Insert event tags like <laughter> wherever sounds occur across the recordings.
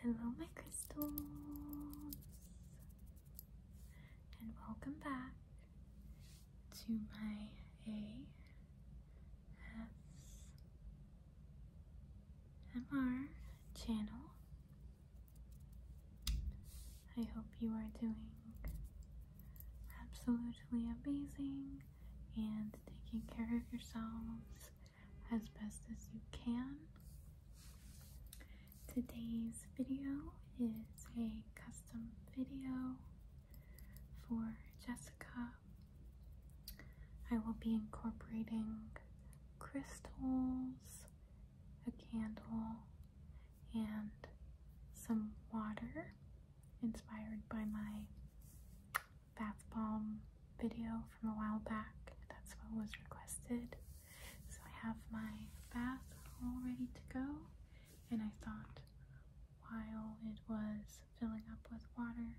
Hello, my crystals, and welcome back to my ASMR channel. I hope you are doing absolutely amazing and taking care of yourselves as best as you can. Today's video is a custom video for Jessica. I will be incorporating crystals a candle, and some water inspired by my bath bomb video from a while back. That's what was requested. So I have my bath all ready to go, and I thought while it was filling up with water,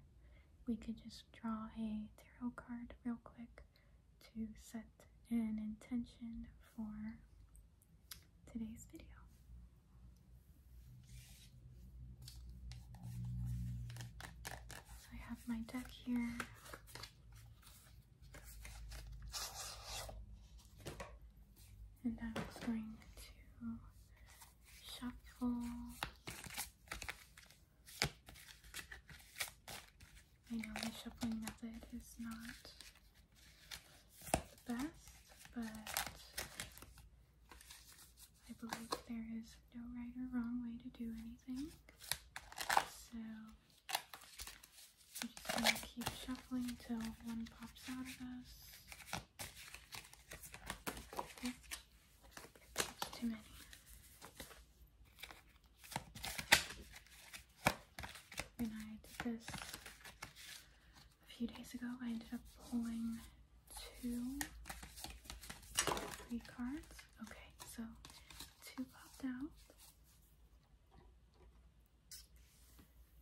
we could just draw a tarot card real quick to set an intention for today's video. So I have my deck here. And I'm going to shuffle I know the shuffling method is not the best, but I believe there is no right or wrong way to do anything. So I'm just going to keep shuffling until one pops out of us. too many. When I did this a few days ago, I ended up pulling two, three cards. Okay, so two popped out.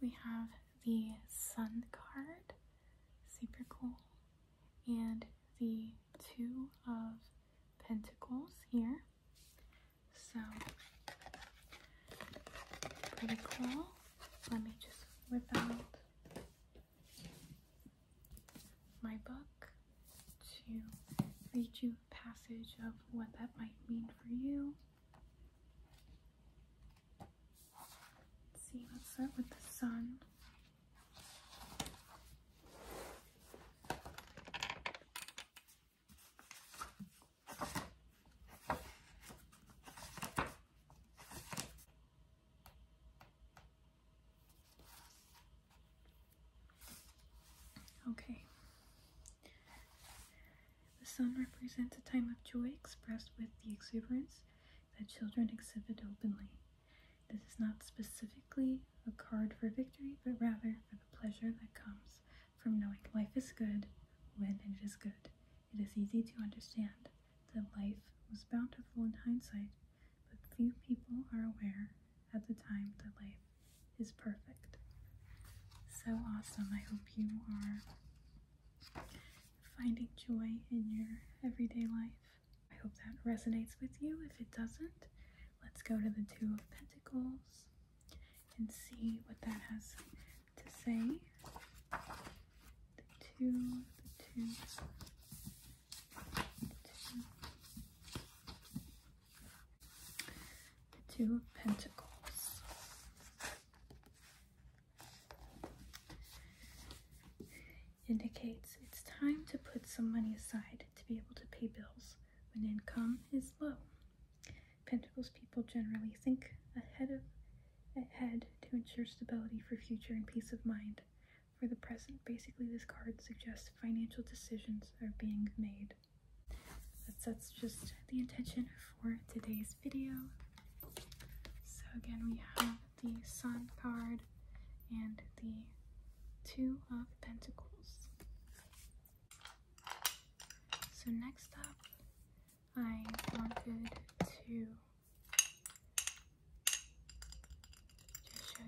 We have the Sun card, super cool, and the Two of Pentacles here. So, pretty cool. Let me just whip out my book to read you a passage of what that might mean for you. Let's see, let's start with the sun. Okay. The sun represents a time of joy expressed with the exuberance that children exhibit openly. This is not specifically a card for victory, but rather for the pleasure that comes from knowing life is good when it is good. It is easy to understand that life was bountiful in hindsight, but few people are aware at the time that life is perfect. So awesome. I hope you are finding joy in your everyday life. I hope that resonates with you. If it doesn't, let's go to the Two of Pentacles and see what that has to say. The two, the two, two, pentacles. Indicates it's time to put some money aside to be able to pay bills when income is low. Pentacles people generally think ahead of ahead to ensure stability for future and peace of mind. For the present, basically this card suggests financial decisions are being made. That's, that's just the intention for today's video. So again, we have the Sun card and the Two of Pentacles. So next up, I wanted to show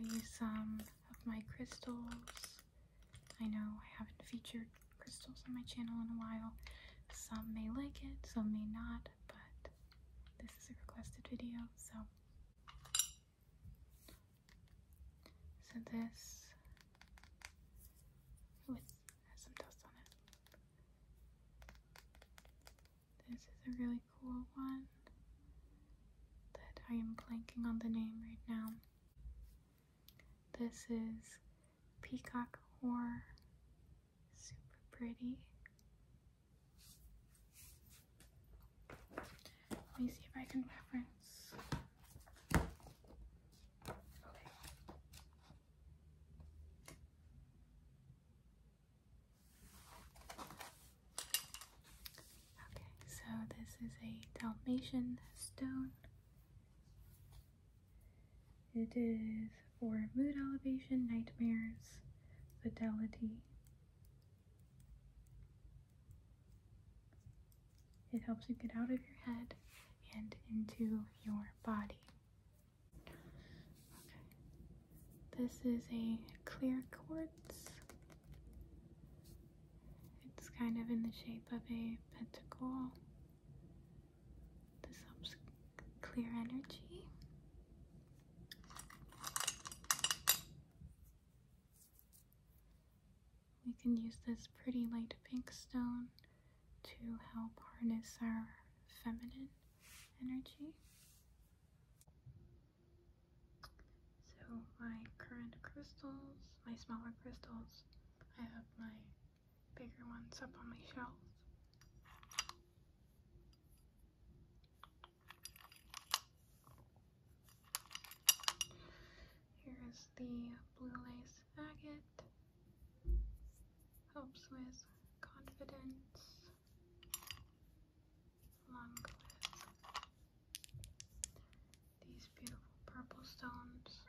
you some of my crystals. I know I haven't featured crystals on my channel in a while. Some may like it, some may not, but this is a requested video, so so this with some dust on it. This is a really cool one that I am blanking on the name right now. This is Peacock Horror. Super pretty. Let me see if I can reference. Okay. Okay, so this is a Dalmatian stone. It is for mood elevation, nightmares, fidelity. It helps you get out of your head and into your body. Okay. This is a clear quartz. It's kind of in the shape of a pentacle. This helps clear energy. We can use this pretty light pink stone to help harness our feminine energy. So my current crystals, my smaller crystals, I have my bigger ones up on my shelf. Here is the blue lace agate. Helps with confidence. Along with these beautiful purple stones.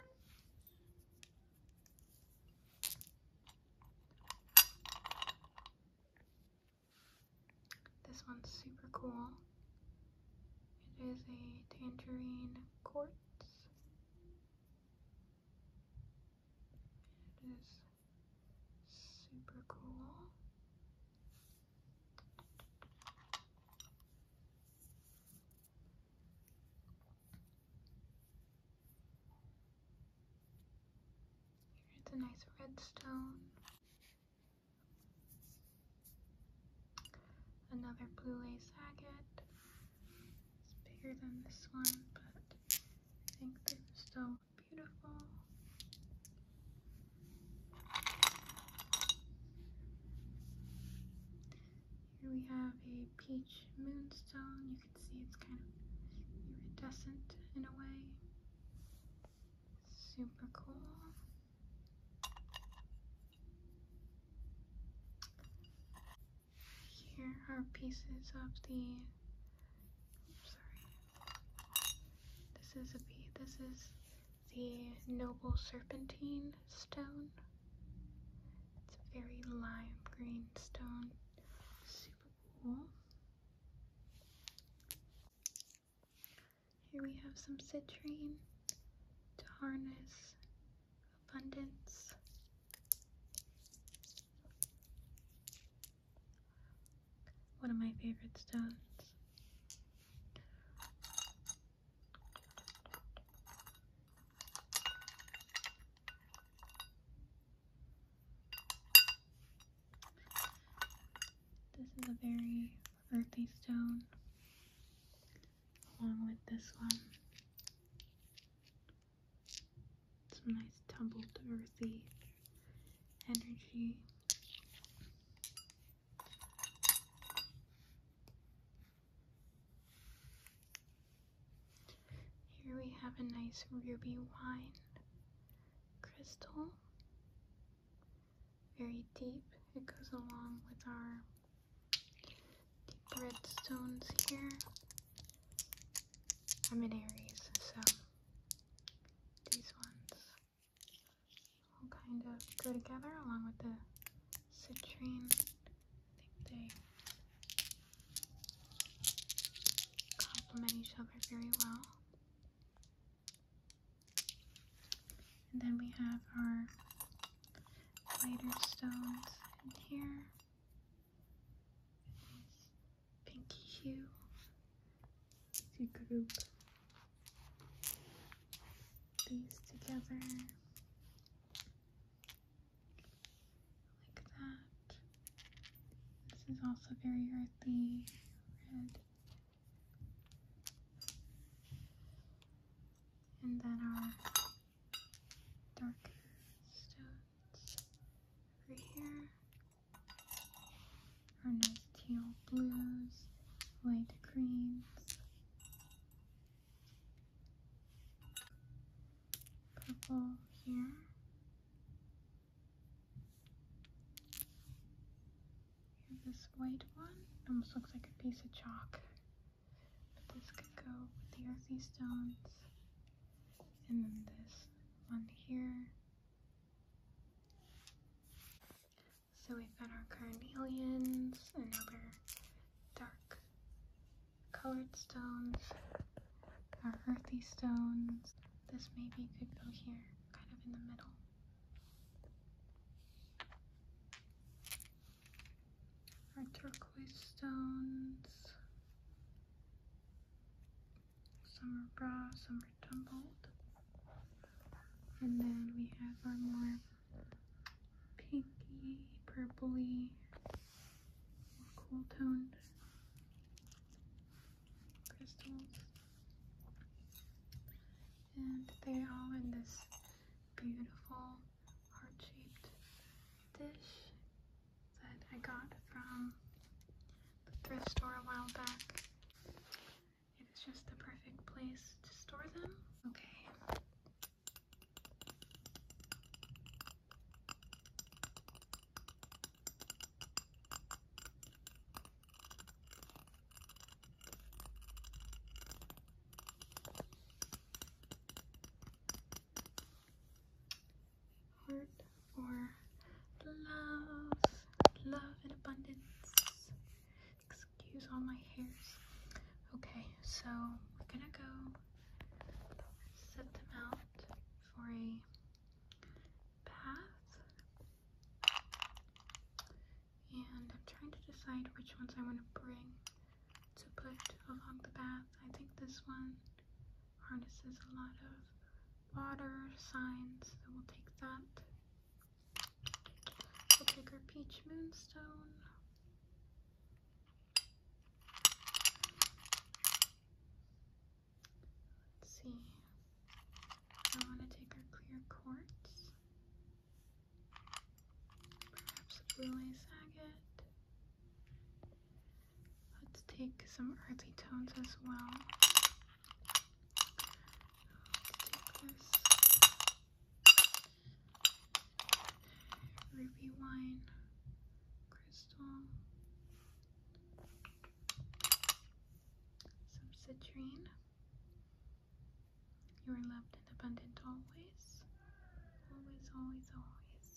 This one's super cool. It is a tangerine quartz. It is super cool. It's a nice redstone. Another blue lace agate. It's bigger than this one, but I think they're still beautiful. Here we have a peach moonstone. You can see it's kind of iridescent in a way. Super cool. Here are pieces of the, sorry, this is a this is the Noble Serpentine stone. It's a very lime green stone, super cool. Here we have some citrine to harness abundance. One of my favorite stones. This is a very the stone along with this one. Some nice tumbled earthy energy. Here we have a nice ruby wine crystal very deep. It goes along with our deep red stones here. I'm in Aries, so these ones all kind of go together along with the citrine. I think they complement each other very well. And then we have our lighter stones in here. Pinky hue. To group these together like that. This is also very earthy red. And then our darker stones over here. Our nice teal blues, light greens, purple here this white one. Almost looks like a piece of chalk. But this could go with the earthy stones. And then this one here. So we've got our carnelians and other dark colored stones, our earthy stones. This maybe could go here, kind of in the middle our turquoise stones. Some are raw, some are tumbled. And then we have our more pinky, purpley, cool toned crystals. And they are in this beautiful heart-shaped dish that I got from the thrift store a while back. It is just the perfect place to store them. Okay. Heart or love, love and abundance. Excuse all my hairs. Okay, so we're gonna go set them out for a path. And I'm trying to decide which ones I want to bring to put along the path. I think this one harnesses a lot of water signs, so we'll take that. We'll take our peach moonstone. Let's see. I want to take our clear quartz, perhaps blue agate. Let's take some earthy tones as well. take this ruby wine crystal, some citrine. You are loved and abundant always. Always, always, always.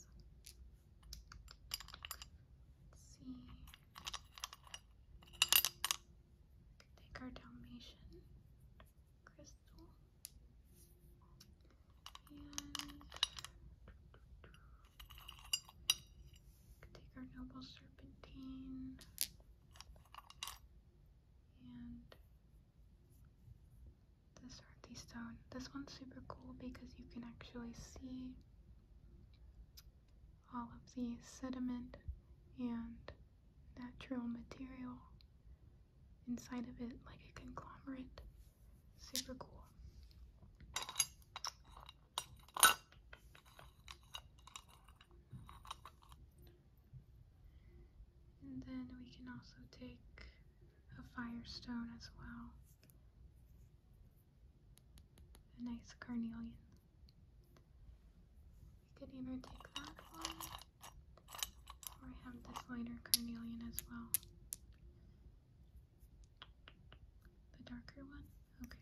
Let's see. Take our Dalmatian crystal. And take our noble serpentine. And this earthy stone. This one's super cool because you can actually see all of the sediment and natural material inside of it like a conglomerate. Super cool. And then we can also take a firestone as well. A nice carnelian. We could either take that one or have this lighter carnelian as well. The darker one. Okay.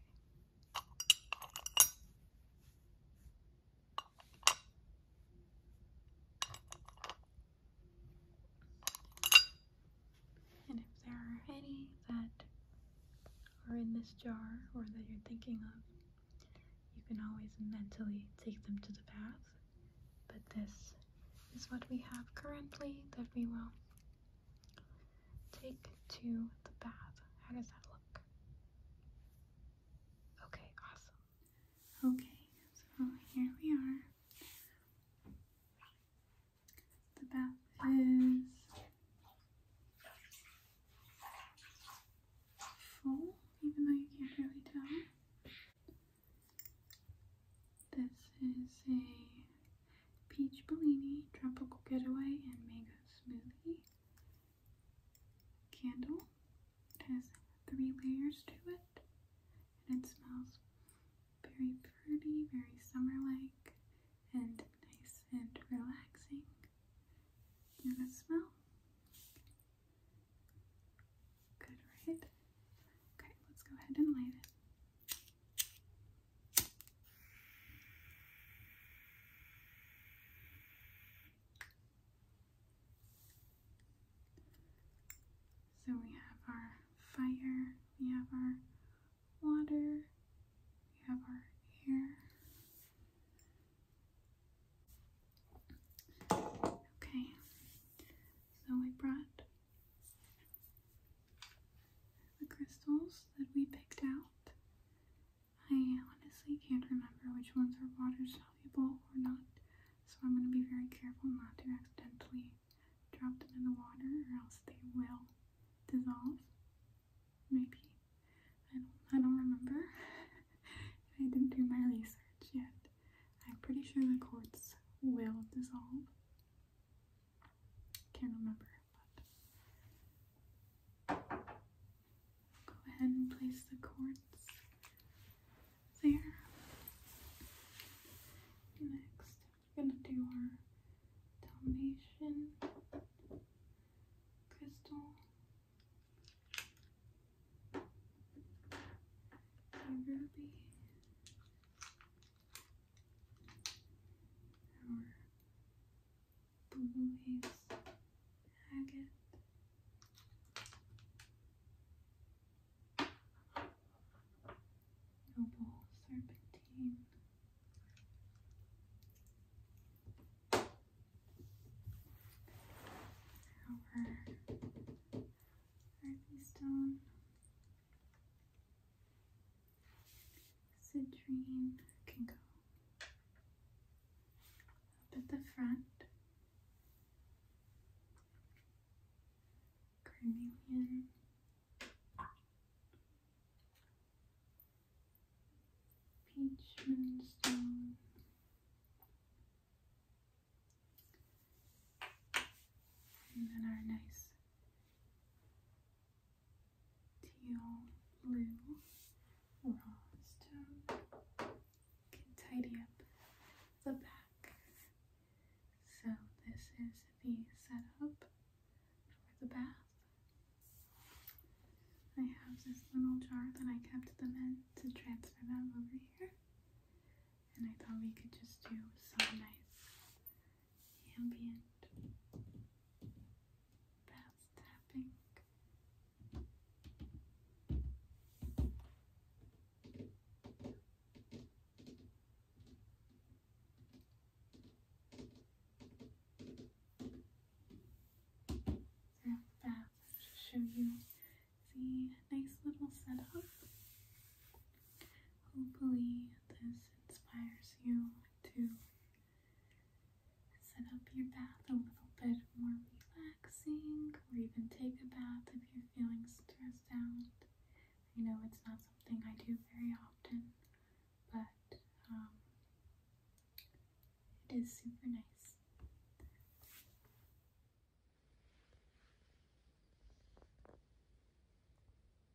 And if there are any that are in this jar or that you're thinking of, you can always mentally take them to the bath. But this is what we have currently that we will Take to the bath. How does that look? Okay, awesome. Okay, so here we are. The bath is full, even though you can't really tell. This is a peach bellini, tropical getaway, and mango smoothie. Candle. It has three layers to it, and it smells very pretty, very summer-like, and nice and relaxing. You know that smell? Good, right? Okay, let's go ahead and light it. So we have our fire, we have our water, we have our air. Okay, so I brought the crystals that we picked out, I honestly can't remember which ones are water soluble or not, so I'm going to be very careful not to accidentally drop them in the water or else they will dissolve. Maybe. I don't, I don't remember. <laughs> I didn't do my research yet. I'm pretty sure the quartz will dissolve. Can't remember go ahead and place the cords there. Next, we're going to do our Dalmatian crystal. Ruby, Louise Haggett. Noble Serpentine. Our Harvey Stone. Citrine can go up at the front. Carnelian. Peach moonstone. And then our nice teal blue raw can tidy up the back. So this is the setup for the bath. I have this little jar that I kept the men to transfer them over here. And I thought we could just do some nice ambient bath tapping. Throughout bath, I'll just show you the nice little setup. Hopefully, this inspires you to Set up your bath a little bit more relaxing, or even take a bath if you're feeling stressed out. I know it's not something I do very often, but um, it is super nice.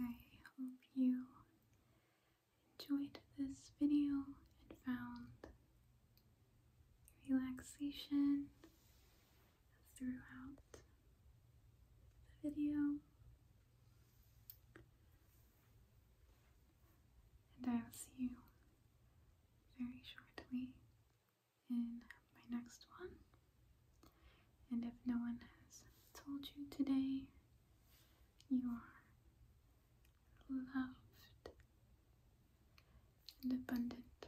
I hope you enjoyed this video and found relaxation throughout the video. And I will see you very shortly in my next one. And if no one has told you today, you are loved and abundant.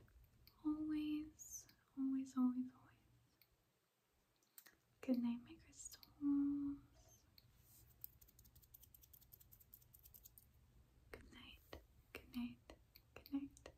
Always, always, always, always. Good night, my crystals. Good night, good night, good night.